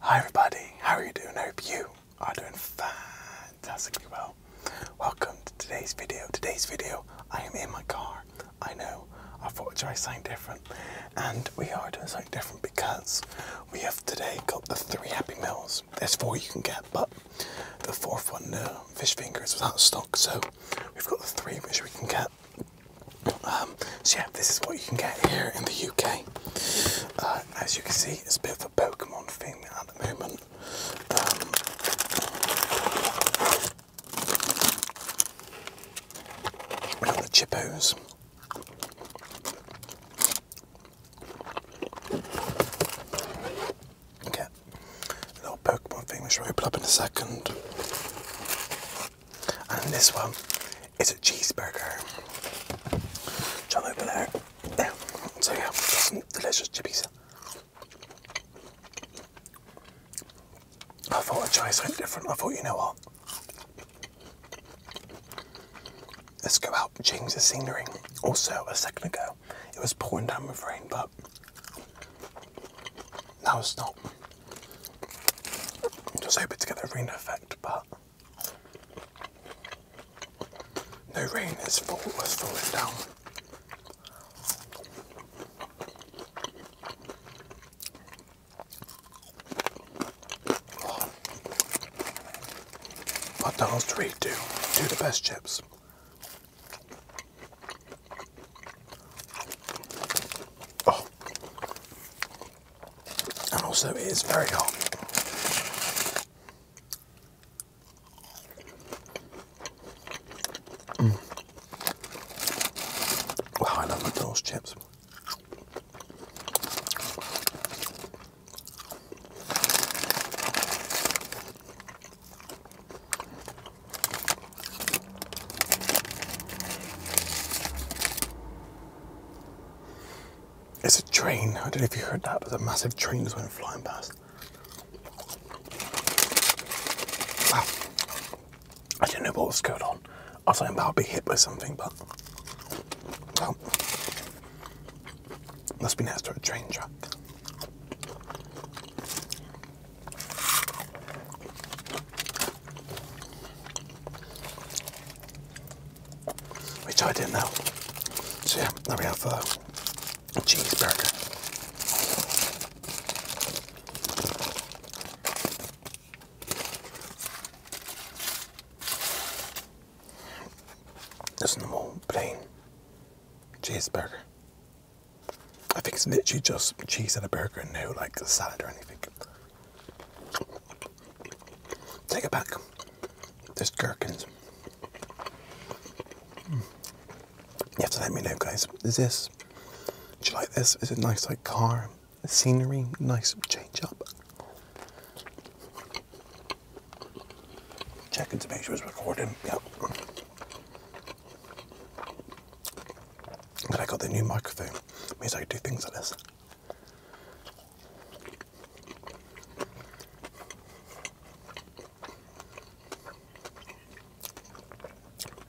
Hi everybody, how are you doing? I hope you are doing fantastically well. Welcome to today's video. Today's video, I am in my car. I know, I have got would try something different. And we are doing something different because we have today got the three Happy Meals. There's four you can get, but the fourth one, the fish fingers, was out of stock. So we've got the three which we can get. Um, so yeah, this is what you can get here in the UK. Uh, uh, as you can see, it's a bit of a Pokemon thing at the moment. we um, got the Chippos. Okay, little Pokemon thing which will open up in a second. And this one it's a cheeseburger. Try over So yeah, delicious chippies. I thought I'd try something different. I thought, you know what? Let's go out and change the scenery. Also, a second ago, it was pouring down with rain, but now it's not. I'm just hoping to get the rain effect, but no rain is fall was falling down. But the whole do do the best chips. Oh, and also it is very hot. Mm. I love McDonald's chips. It's a train. I don't know if you heard that, but a massive train just went flying past. I didn't know what was going on. I was thinking about be hit by something, but well, must be next to a train track which I didn't know. So yeah, now we have uh, a cheeseburger. Just normal plain cheeseburger. I think it's literally just cheese and a burger no like salad or anything. Take it back. There's gherkins. Hmm. You have to let me know, guys. Is this? Do you like this? Is it nice, like car scenery? Nice change up. Checking to make sure it's recording. Yep. But I got the new microphone. It means I can do things like this.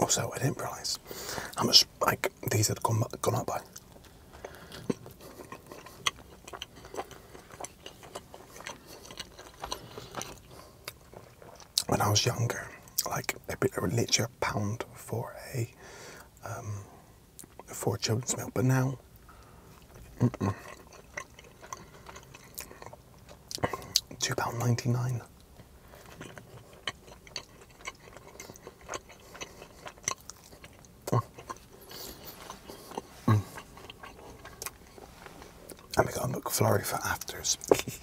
Also, I didn't realise how much like these had gone, gone up by. When I was younger, like a bit, literally a pound for a um, Four children's milk. But now, mm -mm. £2.99. And we got a McFlurry for afters.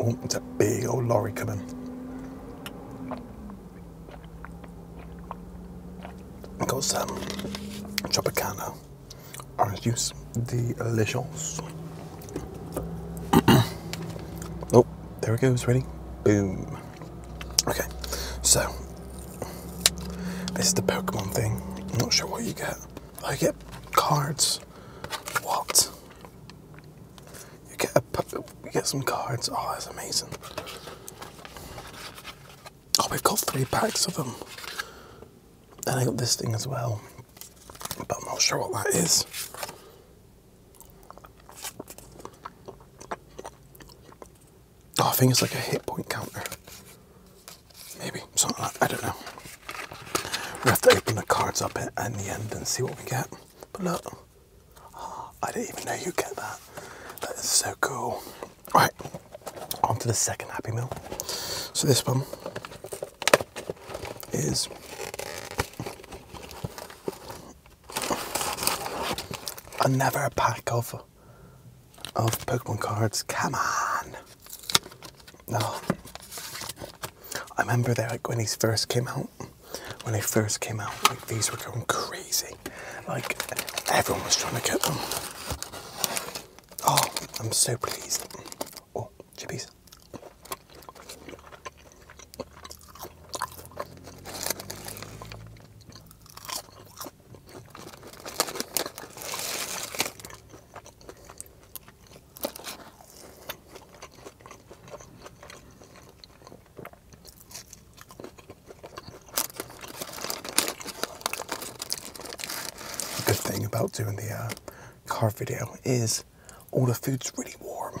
Oh, it's a big old lorry coming. Got some Tropicana orange juice. Delicious. oh, there it goes, ready? Boom. Okay, so this is the Pokemon thing. I'm not sure what you get. I get cards. What? You get a you get some cards. Oh, that's amazing. Oh, we've got three packs of them. Then I got this thing as well, but I'm not sure what that is. Oh, I think it's like a hit point counter. Maybe I don't know. We have to open the cards up at, the end and see what we get. But look, ah, I didn't even know you get that. That is so cool. All right, on to the second Happy Meal. So this one is another pack of of Pokemon cards. Come on! Oh. I remember that like when these first came out, when they first came out, like these were going crazy. Like everyone was trying to get them. Oh, I'm so pleased. Oh, chippies. The good thing about doing the uh, car video is all the food's really warm.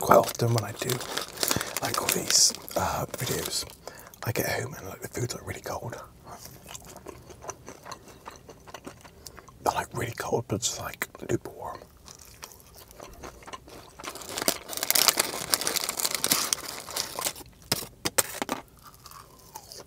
Quite often when I do like all these uh, videos, I get home and like the food's like really cold. They're like really cold, but it's like lukewarm.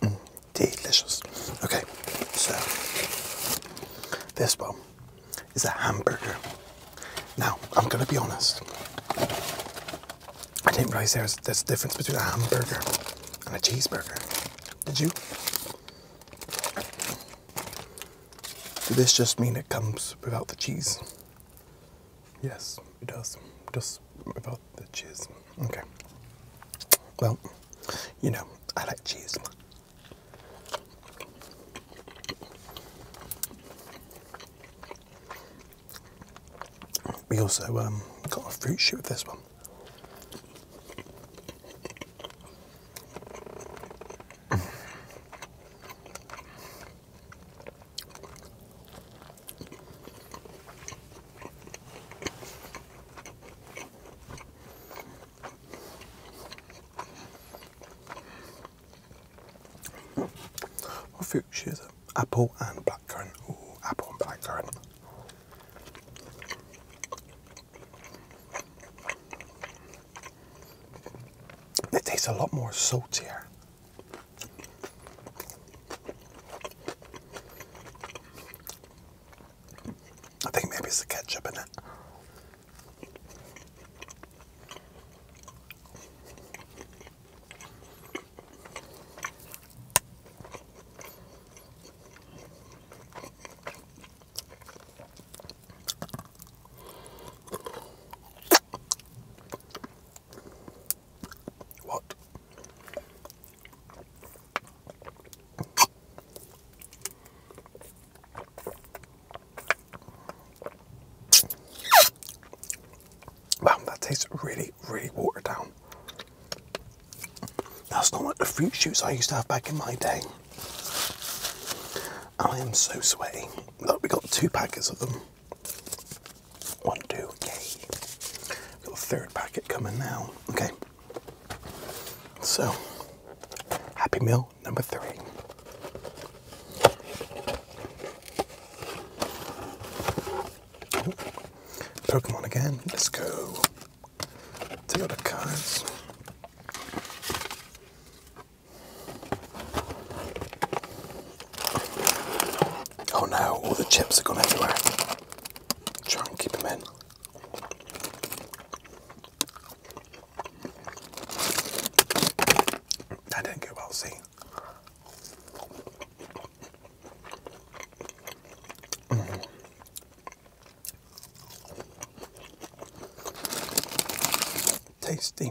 Mm, delicious. Okay, so this one is a hamburger. Now, I'm going to be honest. I didn't realize there's this difference between a hamburger and a cheeseburger. Did you? Does this just mean it comes without the cheese? Yes, it does. Just without the cheese. Okay. Well, you know, I like cheese. We also um, got a fruit shoot with this one. I fruit is it? Apple and blackcurrant. Ooh, apple and blackcurrant. It tastes a lot more salty. I think maybe it's the ketchup in it. What? Wow, that tastes really, really watered down. That's not like the fruit shoots I used to have back in my day. I am so sweaty. Look, we got two packets of them. One, two, okay. We've got a third packet coming now. Okay. So, Happy Meal number three. Oh, Pokemon again. Let's go. Take out the cards. Oh no, all the chips are gone everywhere. Try and keep them in. That didn't go well, see? Mm-hmm. Tasty.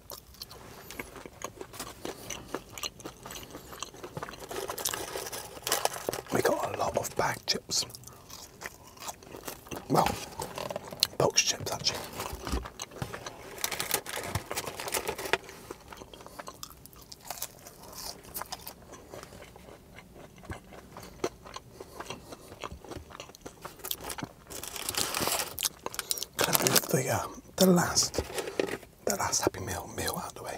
We got a lot of bag chips. Well, box chips actually kind of get the uh, the last the last happy meal meal out of the way.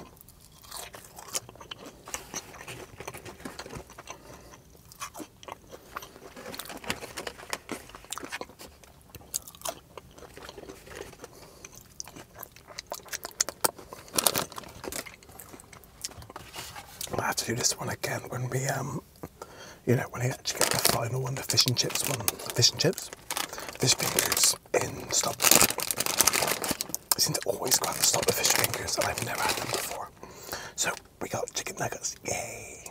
I will have to do this one again when we um you know, when I actually get the final one, the fish and chips one, fish and chips, fish fingers in stop. I seem to always go out and stop the fish fingers, and I've never had them before. So we got chicken nuggets, yay!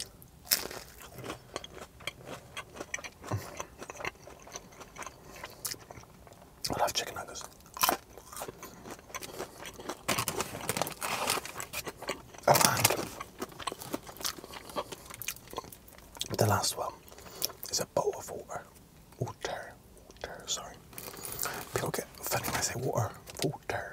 I love chicken nuggets. Oh, the last one is a bowl of water. Water. Water, sorry. People get funny when I say water. Water.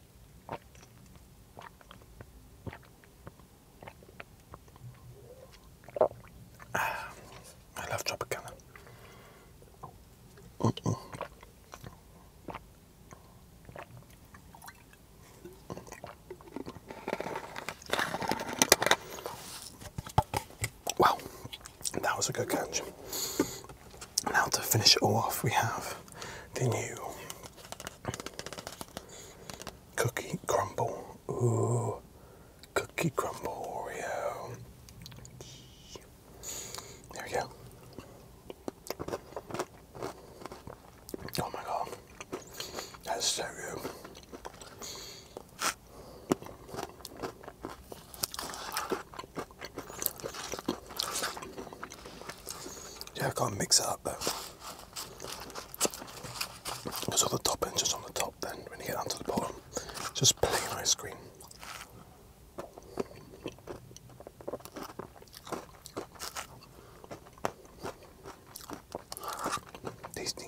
I love Tropicana. Wow, that was a good catch. Now to finish it all off, we have the new cookie crumble. Ooh, cookie crumble Oreo. There we go. Oh my god, that's so good. Yeah, I can't mix it up though. Because all the topping's just on the top then, when you get down to the bottom. just plain ice cream. Tasty.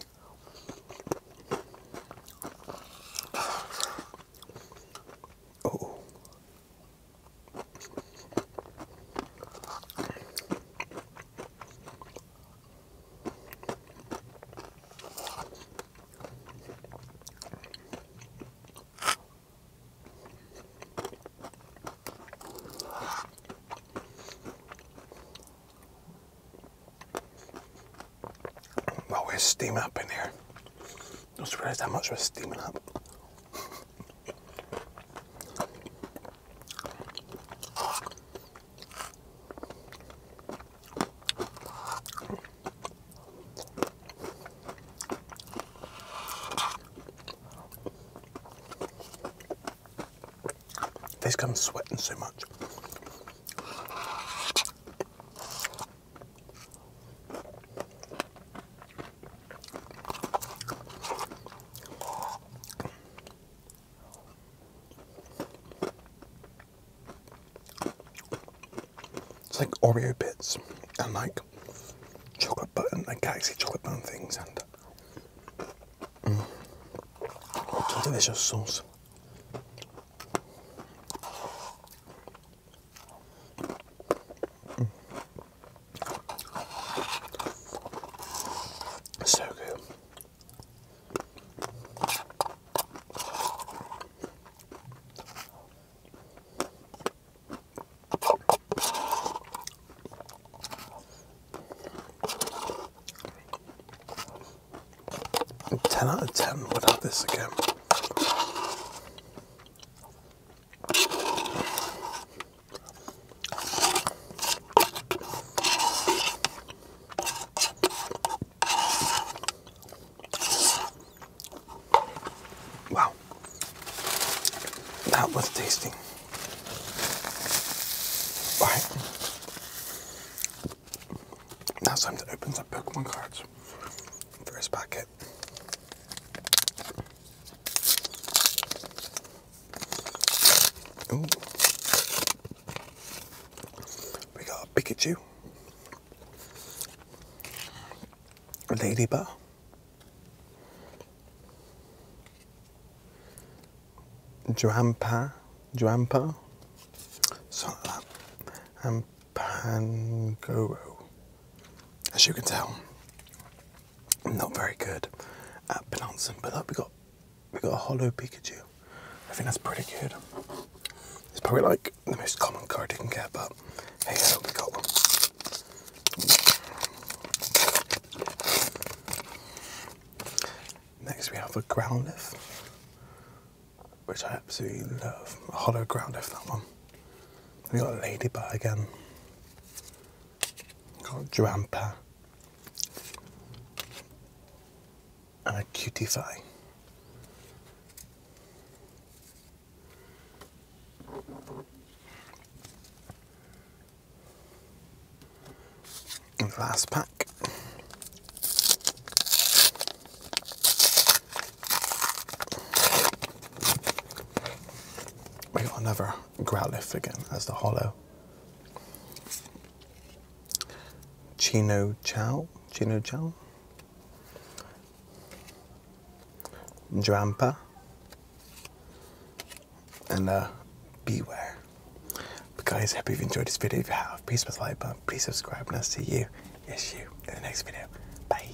Oh, oh. Always steam up in here. I don't realise how much was steaming up. This comes sweating so much. It's like Oreo bits and like chocolate button, like galaxy chocolate button things, and mm, it's a delicious sauce. So good. Ten out of ten would have this again. Wow, that was tasty. Right. Now it's time to open the Pokemon cards. First packet it. We got a Pikachu, Ladybug, Drampa, Drampa, something and Pangoro as you can tell, not very good at pronouncing. But look, we got we got a hollow Pikachu. I think that's pretty good. It's probably like the most common card you can get, but hey, I hope we got one. Next, we have a Growlithe, which I absolutely love. A hollow Growlithe, that one. We've got Ladybug again. Got a got And a Cutify. And the last pack. We got another Growlithe again as the hollow. Chino Chow, Chino Chow, Drampa, and uh, Beware. But I hope you've enjoyed this video. If you have, please press the like button, please subscribe, and I'll see you, yes, you, in the next video. Bye.